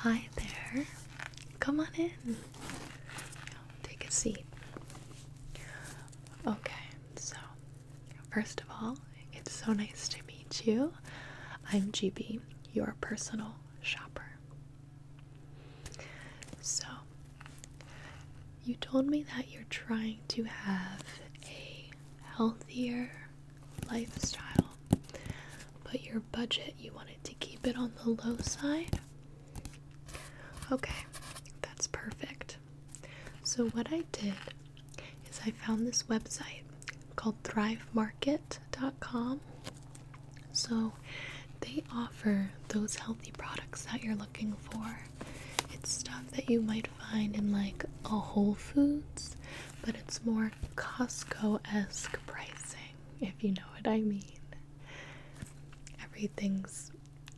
Hi there. Come on in. Take a seat. Okay, so first of all, it's so nice to meet you. I'm GB, your personal shopper. So, you told me that you're trying to have a healthier lifestyle, but your budget, you wanted to keep it on the low side. Okay, that's perfect. So, what I did is I found this website called thrivemarket.com. So, they offer those healthy products that you're looking for. It's stuff that you might find in like a Whole Foods but it's more Costco esque pricing, if you know what I mean. Everything's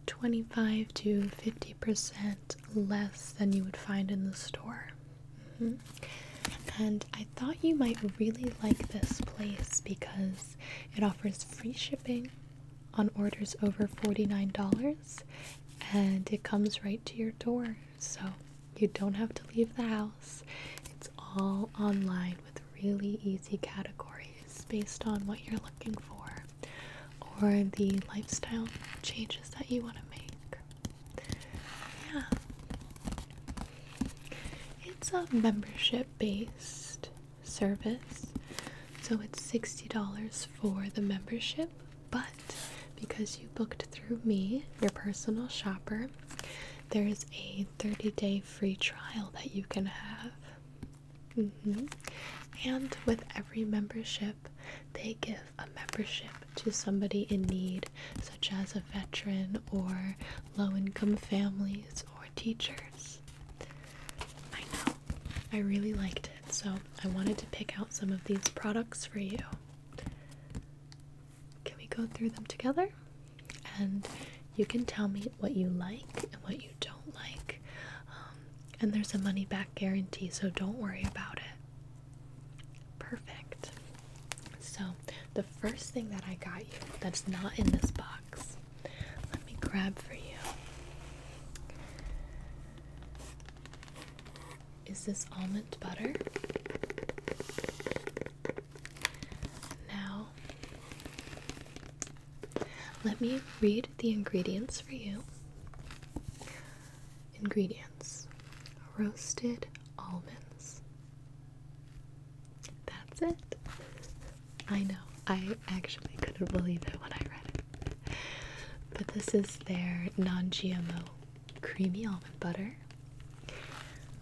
25 to 50% less than you would find in the store. Mm-hmm. And I thought you might really like this place because it offers free shipping on orders over $49 and it comes right to your door. So you don't have to leave the house. It's all online with really easy categories based on what you're looking for or the lifestyle changes that you want to make. Yeah. It's a membership based service. So it's $60 for the membership, but because you booked through me, your personal shopper, there is a 30 day free trial that you can have. Mm-hmm. And with every membership, they give a membership to somebody in need, such as a veteran or low income families or teachers. I know, I really liked it, so I wanted to pick out some of these products for you. Can we go through them together? And you can tell me what you like and what you don't like. Um, and there's a money back guarantee, so don't worry about it. Perfect. So, the first thing that I got you that's not in this box, let me grab for you. Is this almond butter? Now, let me read the ingredients for you. Ingredients roasted almonds. That's it. I know, I actually couldn't believe it when I read it. But this is their non GMO creamy almond butter.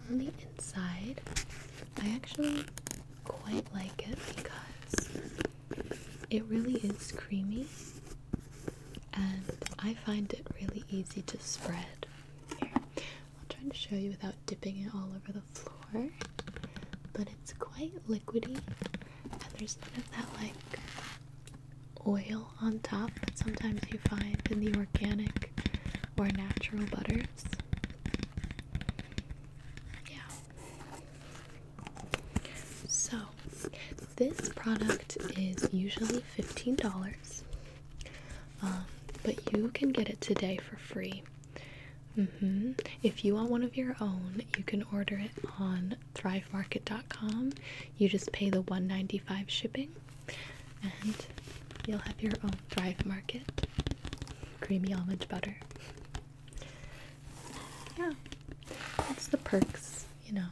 On the inside, I actually quite like it because it really is creamy and I find it really easy to spread. Here, I'll trying to show you without dipping it all over the floor, but it's quite liquidy and there's none of that like oil on top that sometimes you find in the organic or natural butters. Yeah. So, this product is usually $15, um, but you can get it today for free. Mm-hmm. If you want one of your own, you can order it on thrivemarket.com. You just pay the $1.95 shipping and you'll have your own Thrive Market creamy almond butter. Yeah, that's the perks, you know.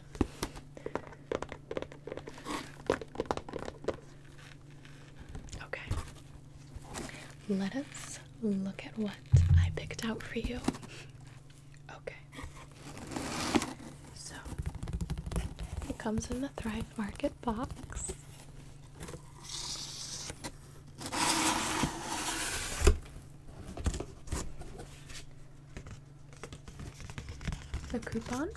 Okay, let us look at what I picked out for you. Okay. So it comes in the Thrive Market box. A coupon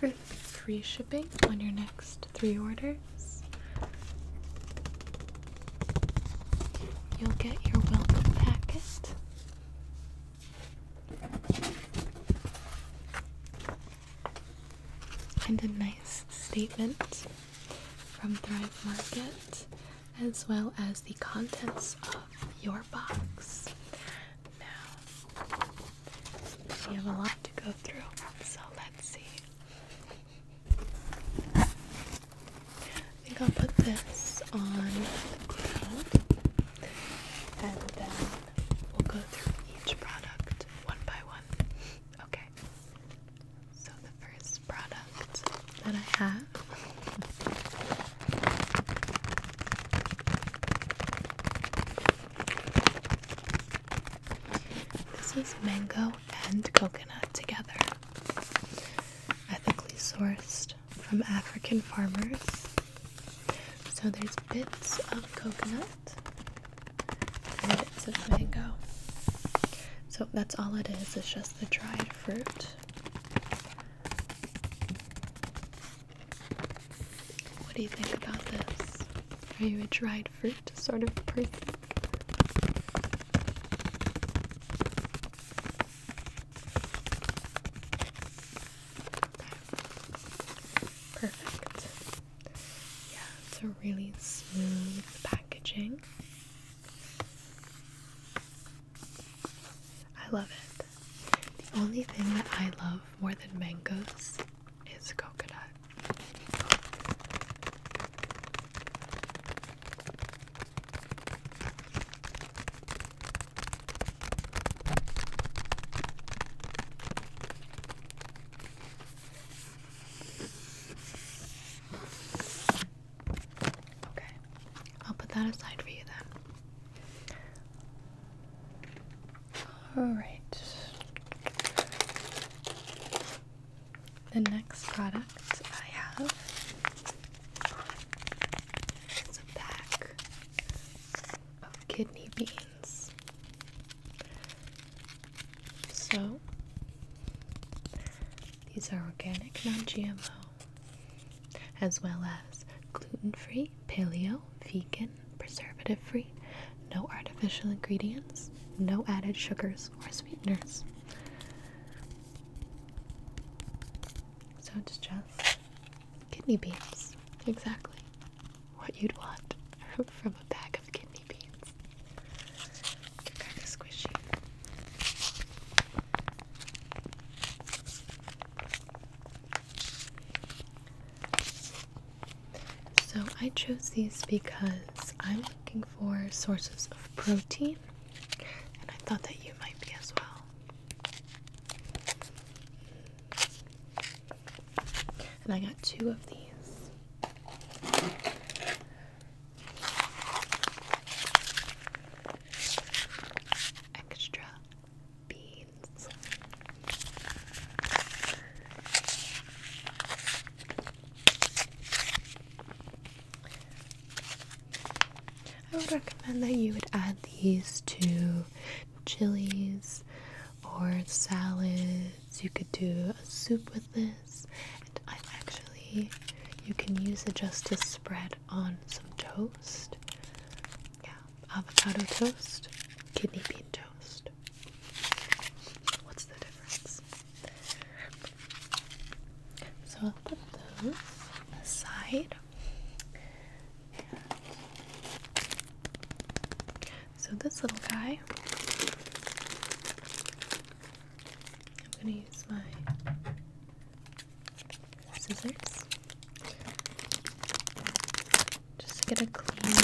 for free shipping on your next three orders. You'll get your welcome packet and a nice statement from Thrive Market, as well as the contents of your box. Now, we have a lot to go through, so let's see. I think I'll put this on and then we'll go through each product one by one. Okay. So the first product that I have This is mango and coconut together. Ethically sourced from African farmers. So there's bits of coconut and bits of mango. So that's all it is, it's just the dried fruit. What do you think about this? Are you a dried fruit sort of person? Perfect. Yeah, it's a really smooth packaging. I love it. The only thing that I love more than mangoes is coconut. Okay, I'll put that aside for you then. Alright. The next product I have is a pack of kidney beans. So, these are organic, non GMO, as well as gluten free, paleo, vegan, preservative free, no artificial ingredients, no added sugars or sweeteners. So, it's just kidney beans, exactly what you'd want from a bag of kidney beans. kind of squishy. So I chose these because I'm looking for sources of protein, and I thought that you might be as well. And I got two of these. Extra beans. I would recommend that you would add these to chilies or salads. You could do a soup with this. And I actually, you can use it just to spread on some toast. Yeah, avocado toast, kidney bean toast. What's the difference? So I'll put those aside. And so this little guy, I'm going to use my scissors just get a clean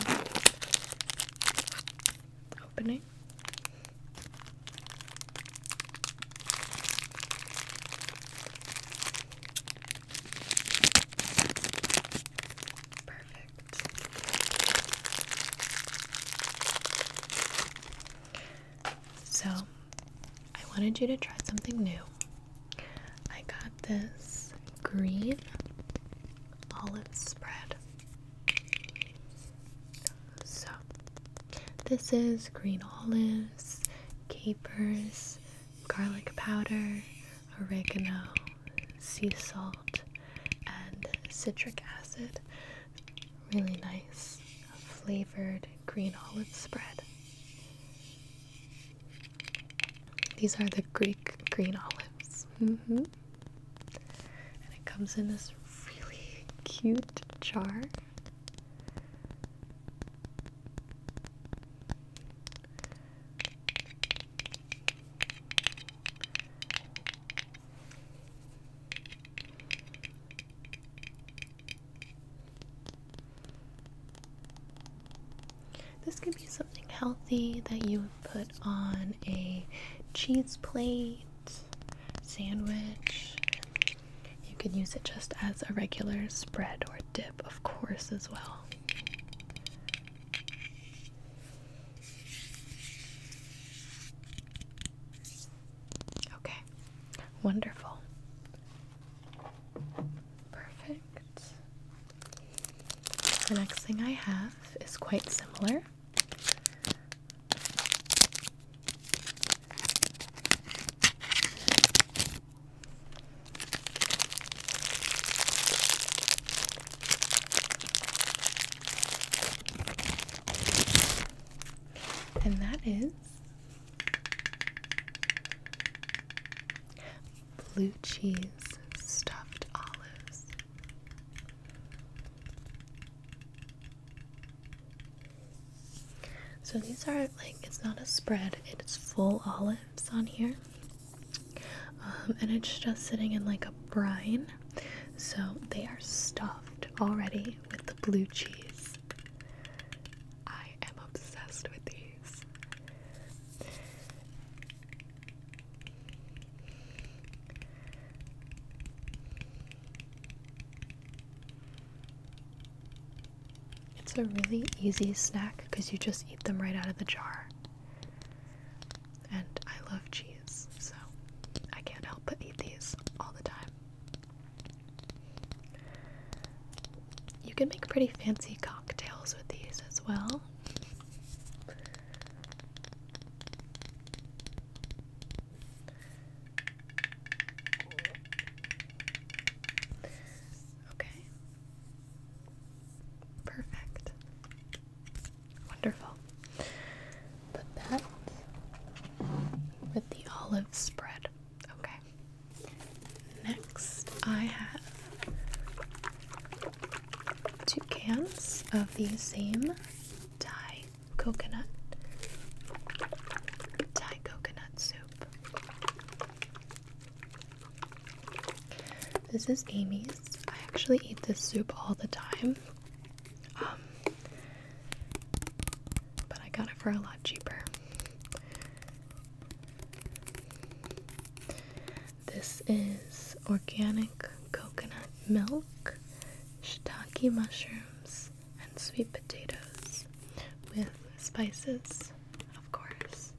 opening. Perfect. So, I wanted you to try something new. I got this green olive spread. So, this is green olives, capers, garlic powder, oregano, sea salt, and citric acid. Really nice flavored green olive spread. These are the Greek green olives. Mm-hmm. And it comes in this really cute jar. This could be something healthy that you would put on a cheese plate, sandwich. You could use it just as a regular spread or dip, of course, as well. Okay, wonderful. Perfect. The next thing I have is quite similar. And that is blue cheese stuffed olives. So these are like, it's not a spread, it's full olive on here, um, and it's just sitting in like a brine. So they are stuffed already with the blue cheese. I am obsessed with these. It's a really easy snack because you just eat them right out of the jar and I love cheese, so I can't help but eat these all the time. You can make pretty fancy cocktails with these as well. Okay. Perfect. Wonderful. Put that with the olive spread. Okay. Next, I have two cans of the same Thai coconut Thai coconut soup. This is Amy's. I actually eat this soup all the time. Um, but I got it for a lot cheaper. This is organic coconut milk, shiitake mushrooms, and sweet potatoes with spices, of course.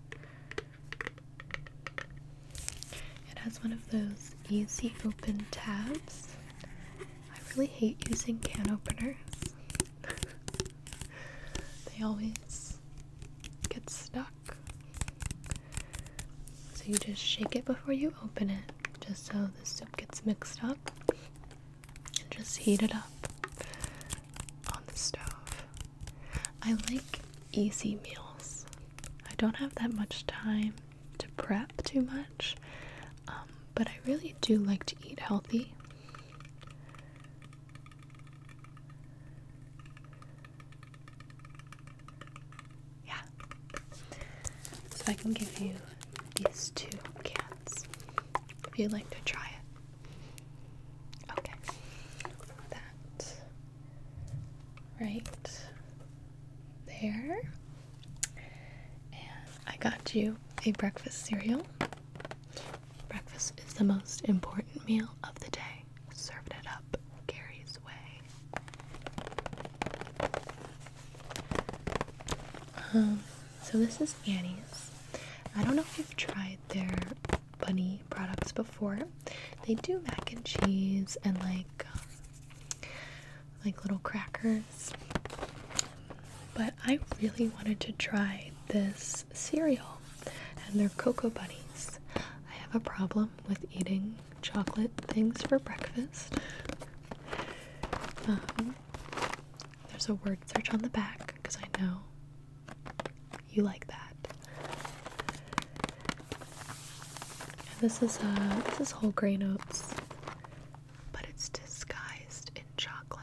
It has one of those easy open tabs. I really hate using can openers. they always get stuck. So you just shake it before you open it, just so the soup gets mixed up. And just heat it up on the stove. I like easy meals. I don't have that much time to prep too much, um, but I really do like to eat healthy. Yeah. So I can give you these two cans if you'd like to try it. Okay. That right there. And I got you a breakfast cereal. Breakfast is the most important meal of the day. Served it up Gary's way. Um, so this is Annie's. I don't know if you've tried their bunny products before, they do mac and cheese and like um, like little crackers. But I really wanted to try this cereal and their cocoa bunnies. I have a problem with eating chocolate things for breakfast. Um, there's a word search on the back because I know you like that. And this is a uh, this is whole grain oats, but it's disguised in chocolate.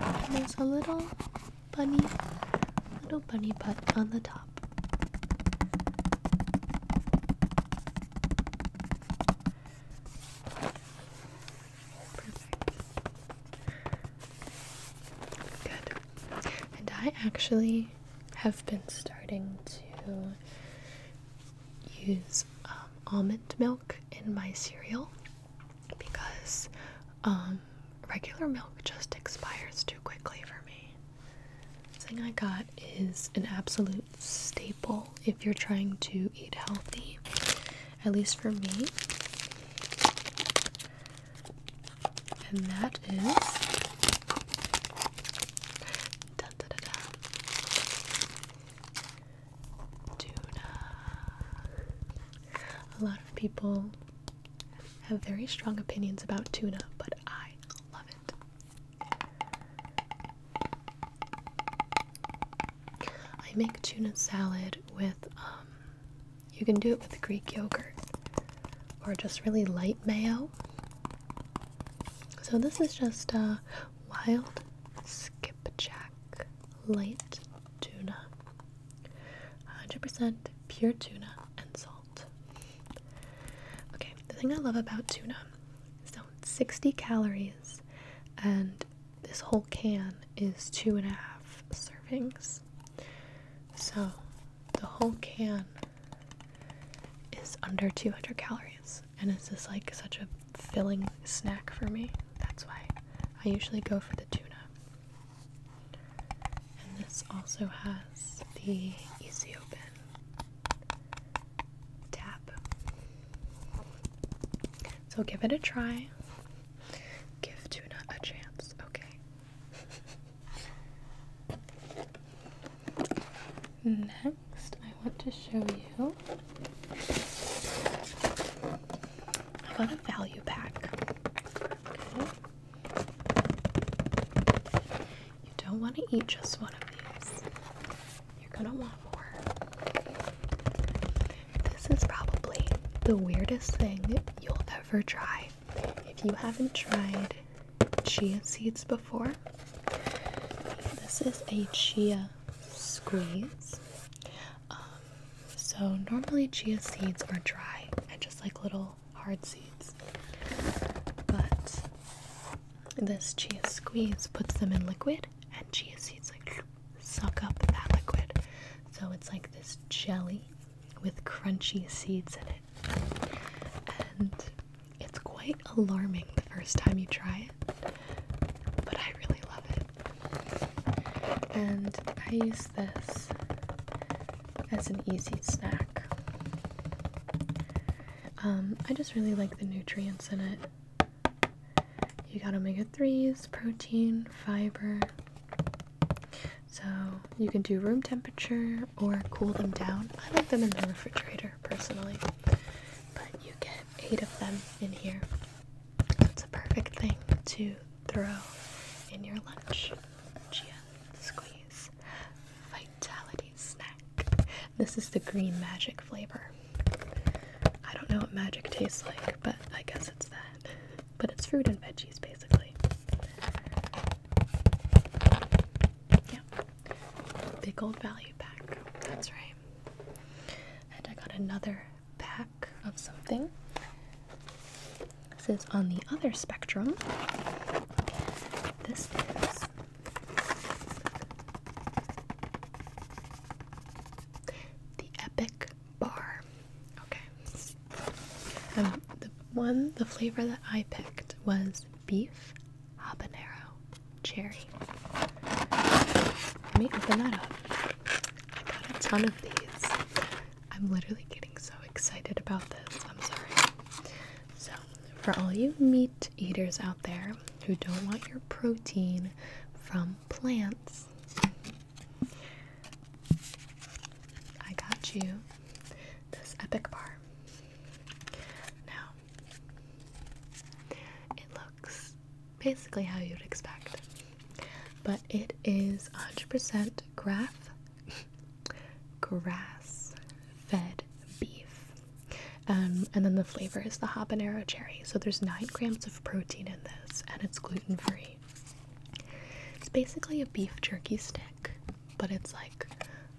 And there's a little bunny, little bunny butt on the top. Good. And I actually have been starting to use um, almond milk in my cereal because um, regular milk just expires too quickly for me. The thing I got is an absolute staple if you're trying to eat healthy, at least for me. And that is tuna. A lot of people have very strong opinions about tuna, but I love it. I make tuna salad with, um, you can do it with Greek yogurt or just really light mayo. So this is just a wild skipjack light tuna, 100% pure tuna and salt. Okay, the thing I love about tuna is so 60 calories and this whole can is two and a half servings. So the whole can is under 200 calories. And it's just like such a filling snack for me. That's why I usually go for the tuna. And this also has the easy open tap. So give it a try. Give tuna a chance, okay? Next, I want to show you about a value pack. You don't want to eat just one of these. You're gonna want more. This is probably the weirdest thing you'll ever try. If you haven't tried chia seeds before, this is a chia squeeze. Um, so, normally chia seeds are dry and just like little hard seeds, but this chia squeeze puts them in liquid and chia seeds like suck up that liquid. So it's like this jelly with crunchy seeds in it. And it's quite alarming the first time you try it, but I really love it. And I use this as an easy snack. Um, I just really like the nutrients in it. You got omega 3s, protein, fiber. So you can do room temperature or cool them down. I like them in the refrigerator personally, but you get eight of them in here. So it's a perfect thing to throw in your lunch. Chia squeeze vitality snack. This is the green magic flavor. I don't know what magic tastes like, but I guess it's that. But it's fruit and veggies basically. Yeah. Big old value pack. That's right. And I got another pack of something. This is on the other spectrum. This is the Epic Bar. Okay. Um, the one, the flavor that I picked was beef habanero cherry. Let me open that up. I got a ton of these. I'm literally getting so excited about this. I'm sorry. So, for all you meat eaters out there who don't want your protein from plants. I got you this epic bar. Now, it looks basically how you'd expect, but it is 100% grass, grass fed beef. Um, and then the flavor is the habanero cherry. So there's 9 grams of protein in this, and it's gluten free. It's basically a beef jerky stick, but it's like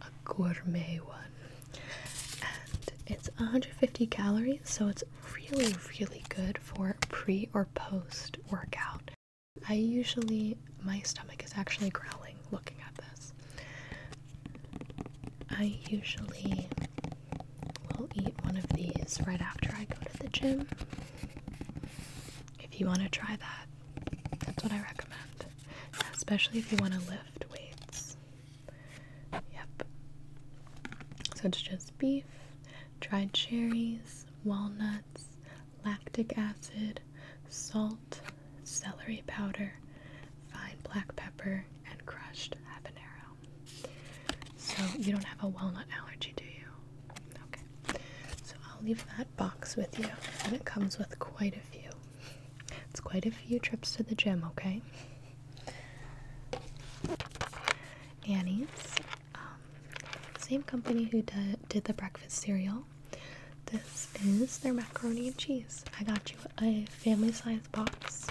a gourmet one. And it's 150 calories, so it's really, really good for pre or post workout. I usually, my stomach is actually growling looking at this. I usually We'll eat one of these right after I go to the gym. If you want to try that, that's what I recommend. Especially if you want to lift weights. Yep. So it's just beef, dried cherries, walnuts, lactic acid, salt, celery powder, fine black pepper, and crushed habanero. So you don't have a walnut allergy, do you? Okay. So I'll leave that box with you, and it comes with quite a few. It's quite a few trips to the gym, okay? Annie's, um, same company who did, did the breakfast cereal. This is their macaroni and cheese. I got you a family size box.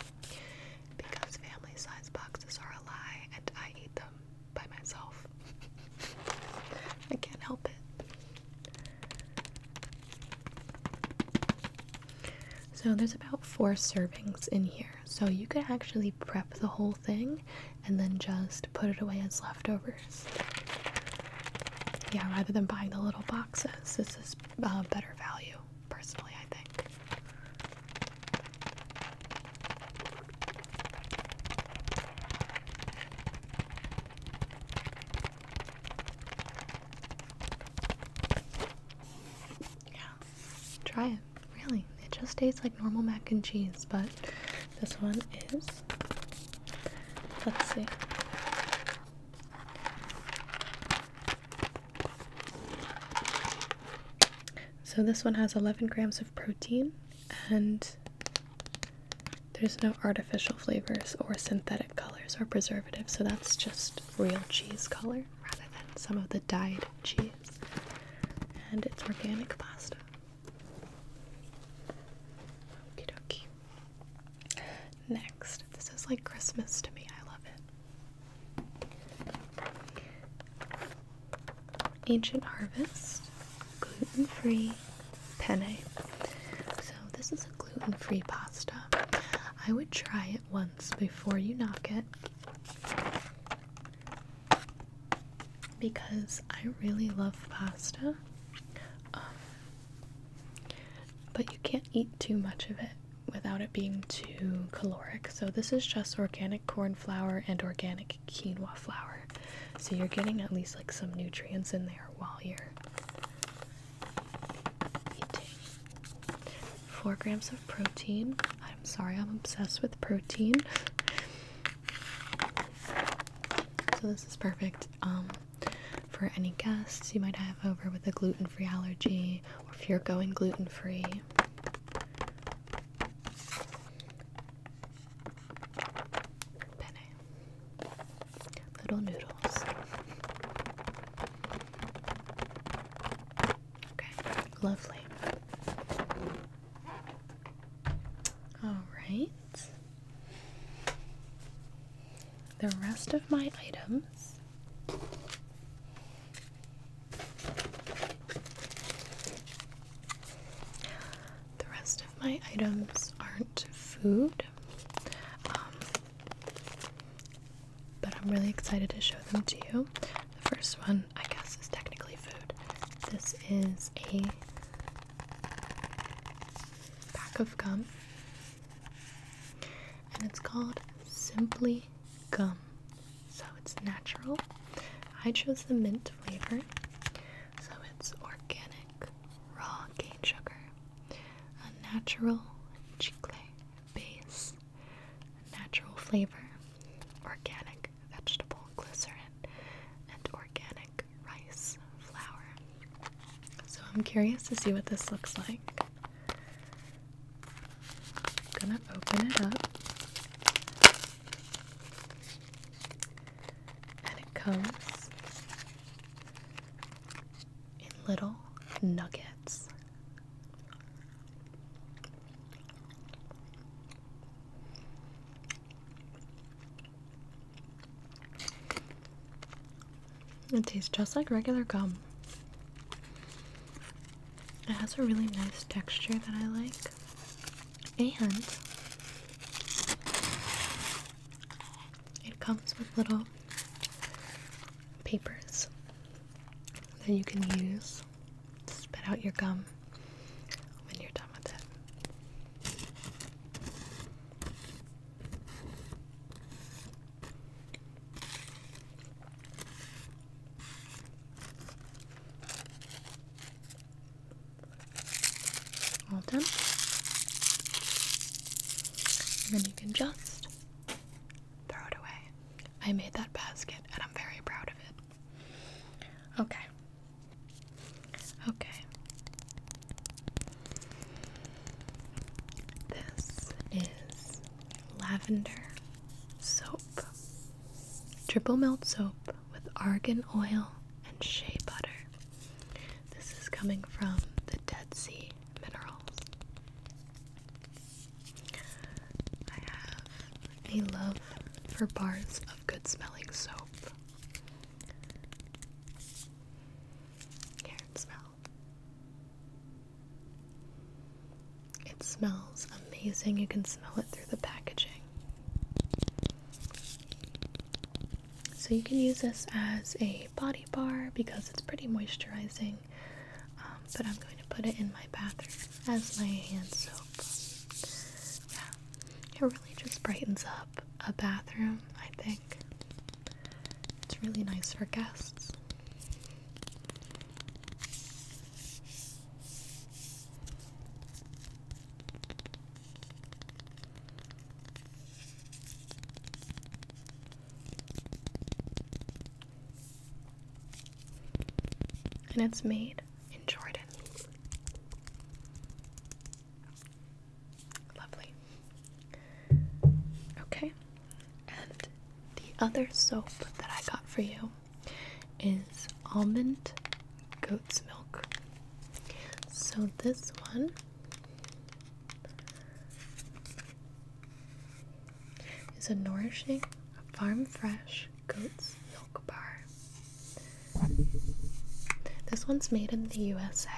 Because family size boxes are a lie and I eat them by myself. I can't help it. So there's about four servings in here. So you could actually prep the whole thing and then just put it away as leftovers. Yeah, rather than buying the little boxes, this is uh, better value, personally, I think. Yeah, try it. Really, it just tastes like normal mac and cheese, but this one is. Let's see. So this one has 11 grams of protein and there's no artificial flavors or synthetic colors or preservatives, so that's just real cheese color rather than some of the dyed cheese. And it's organic pasta. Okie dokie. Next, this is like Christmas to me. I love it. Ancient Harvest gluten free penne. So, this is a gluten free pasta. I would try it once before you knock it because I really love pasta. Um, but you can't eat too much of it without it being too caloric. So this is just organic corn flour and organic quinoa flour. So you're getting at least like some nutrients in there while you're eating. Four grams of protein. I'm sorry, I'm obsessed with protein. So this is perfect um, for any guests you might have over with a gluten-free allergy, or if you're going gluten-free. Penne. Little noodles. Okay, lovely. All right. The rest of my items the rest of my items aren't food, um, but I'm really excited to show them to you. The first one, I guess, is technically food. This is a pack of gum, and it's called Simply Gum so it's natural. I chose the mint flavor, so it's organic, raw cane sugar, a natural chicle base, natural flavor, organic vegetable glycerin, and organic rice flour. So I'm curious to see what this looks like. I'm gonna open it up. And it comes in little nuggets. It tastes just like regular gum. It has a really nice texture that I like. And it comes with little papers that you can use to spit out your gum when you're done with it. All done. And then you can just throw it away. I made that basket and I'm very proud of it. Okay. Okay. This is lavender soap. Triple melt soap with argan oil and shea butter. This is coming from the Dead Sea Minerals. I have a love for bars of good smelling soap. Here, smell. It smells amazing. You can smell it through the packaging. So you can use this as a body bar because it's pretty moisturizing. Um, but I'm going to put it in my bathroom as my hand soap. Yeah, it really just brightens up a bathroom, I think. It's really nice for guests. And it's made in Jordan. Lovely. Okay. And the other soap that I got for you is almond goat's milk. So this one is a nourishing farm fresh goat's milk bar. This one's made in the USA.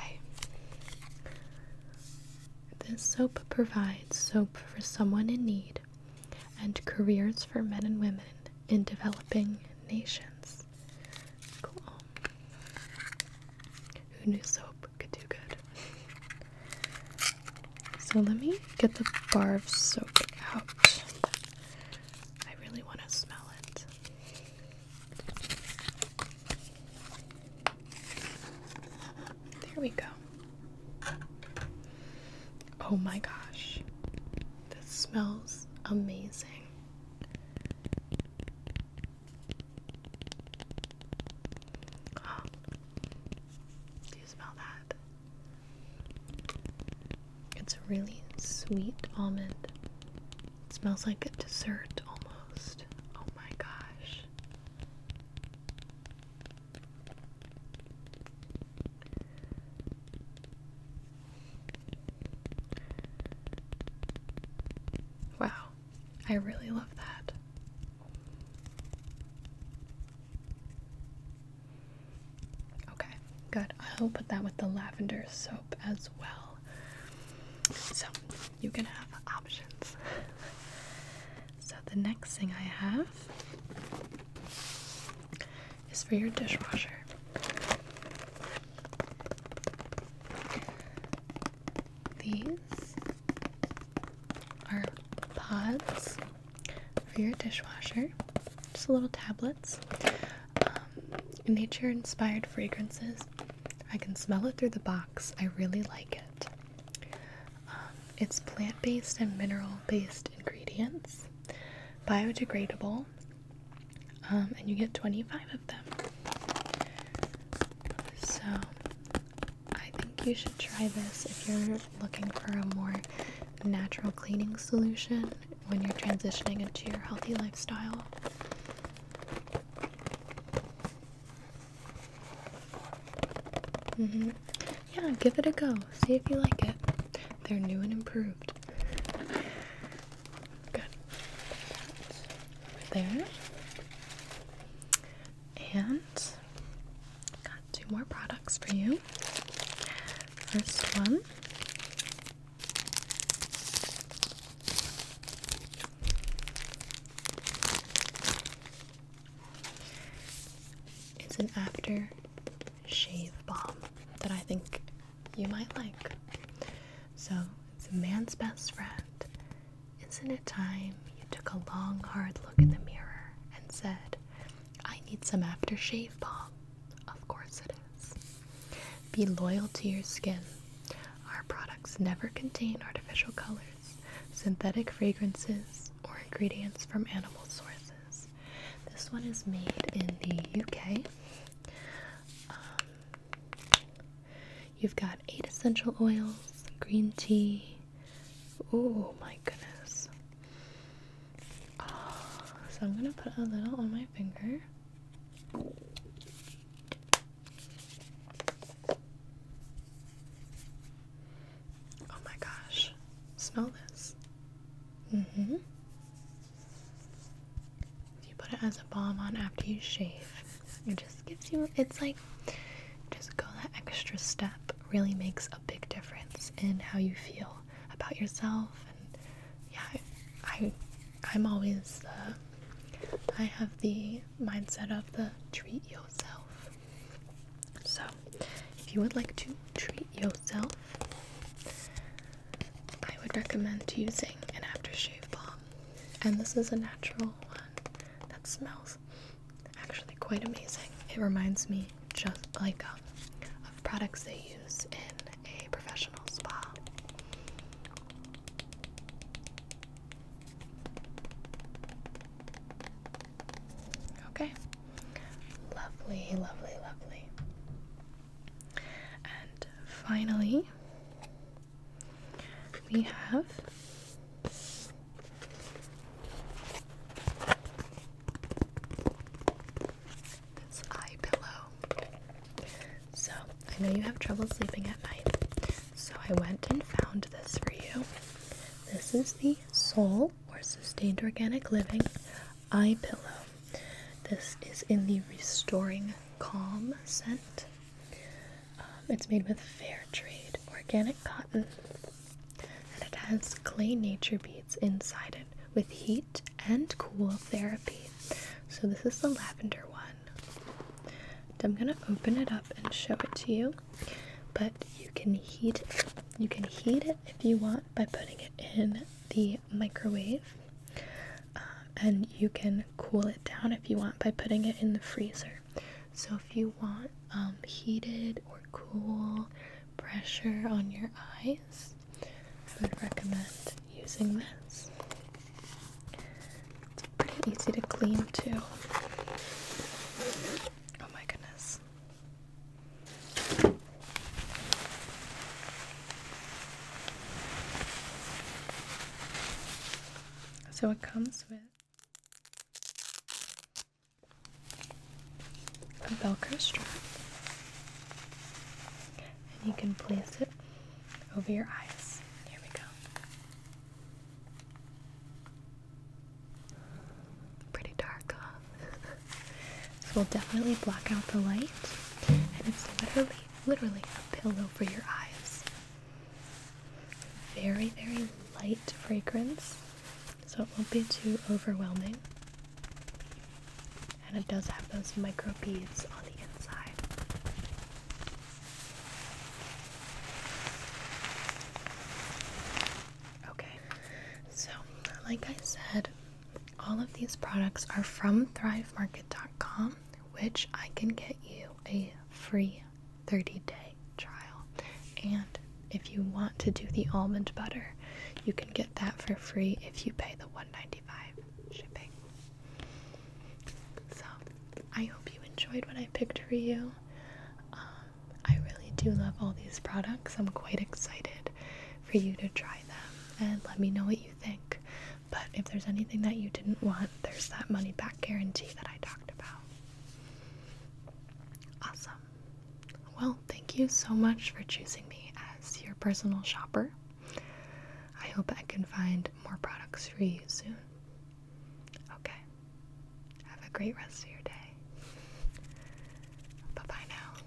This soap provides soap for someone in need and careers for men and women in developing nations. Cool. Who knew soap could do good? So let me get the bar of soap out. I really want to smell it. There we go. Oh my gosh. This smells amazing. Oh, do you smell that? It's a really sweet almond. It smells like a dessert almost. Oh my gosh. Wow, I really love that. Okay, good. I'll put that with the lavender soap as well. So you can have options. so the next thing I have is for your dishwasher. These are pods for your dishwasher, just little tablets. Um, nature inspired fragrances. I can smell it through the box. I really like it. Um, it's plant based and mineral based ingredients biodegradable, um, and you get 25 of them. So I think you should try this if you're looking for a more natural cleaning solution when you're transitioning into your healthy lifestyle. Mm-hmm. Yeah, give it a go. See if you like it. They're new and improved. there. And got two more products for you. First one it's an after shave balm that I think you might like. So, it's a man's best friend. Isn't it time you took a long, hard look in the mirror and said, I need some aftershave balm? Of course it is. Be loyal to your skin. Our products never contain artificial colors, synthetic fragrances, or ingredients from animal sources this. one is made in the UK. Um, you've got eight essential oils, green tea. Oh my goodness. Ah, so I'm going to put a little on my finger. Oh my gosh. Smell this. Mm hmm. If you put it as a balm on after you shave, it just gives you, it's like, just go that extra step really makes a big difference in how you feel about yourself. And yeah, I, I'm always, uh, I have the mindset of the treat yourself. So, if you would like to treat yourself, I would recommend using an aftershave balm. And this is a natural one that smells actually quite amazing. It reminds me just like um, of products they use in a professional spa. Okay. Lovely, lovely, lovely. And finally, we have this eye pillow. So, I know you have trouble sleeping at night, so I went and found this for you. This is the Soul or Sustained Organic Living eye pillow. This is in the Restoring Calm scent. Um, it's made with fair trade organic cotton and it has clay nature beads inside it with heat and cool therapy. So, this is the lavender one. I'm gonna open it up and show it to you, but you can heat You can heat it if you want by putting it in the microwave uh, and you can cool it down if you want by putting it in the freezer. So if you want um, heated or cool pressure on your eyes, I would recommend using this. It's pretty easy to clean too. Oh my goodness. So it comes with a Velcro strap, and you can place it over your eyes. Here we go. Pretty dark, this will definitely block out the light, and it's literally, literally a pillow for your eyes. Very, very light fragrance, so it won't be too overwhelming. And it does have those micro beads on the inside. Okay, so like I said, all of these products are from thrivemarket.com, which I can get you a free 30 day trial. And if you want to do the almond butter, you can get that for free if you pay the $1.95 shipping. So I hope you enjoyed what I picked for you. Um, I really do love all these products. I'm quite excited for you to try them and let me know what you think. But if there's anything that you didn't want, there's that money back guarantee that I talked about. Awesome. Well, thank you so much for choosing me as your personal shopper. I hope I can find more products for you soon. Okay. Have a great rest of your day. Bye bye now.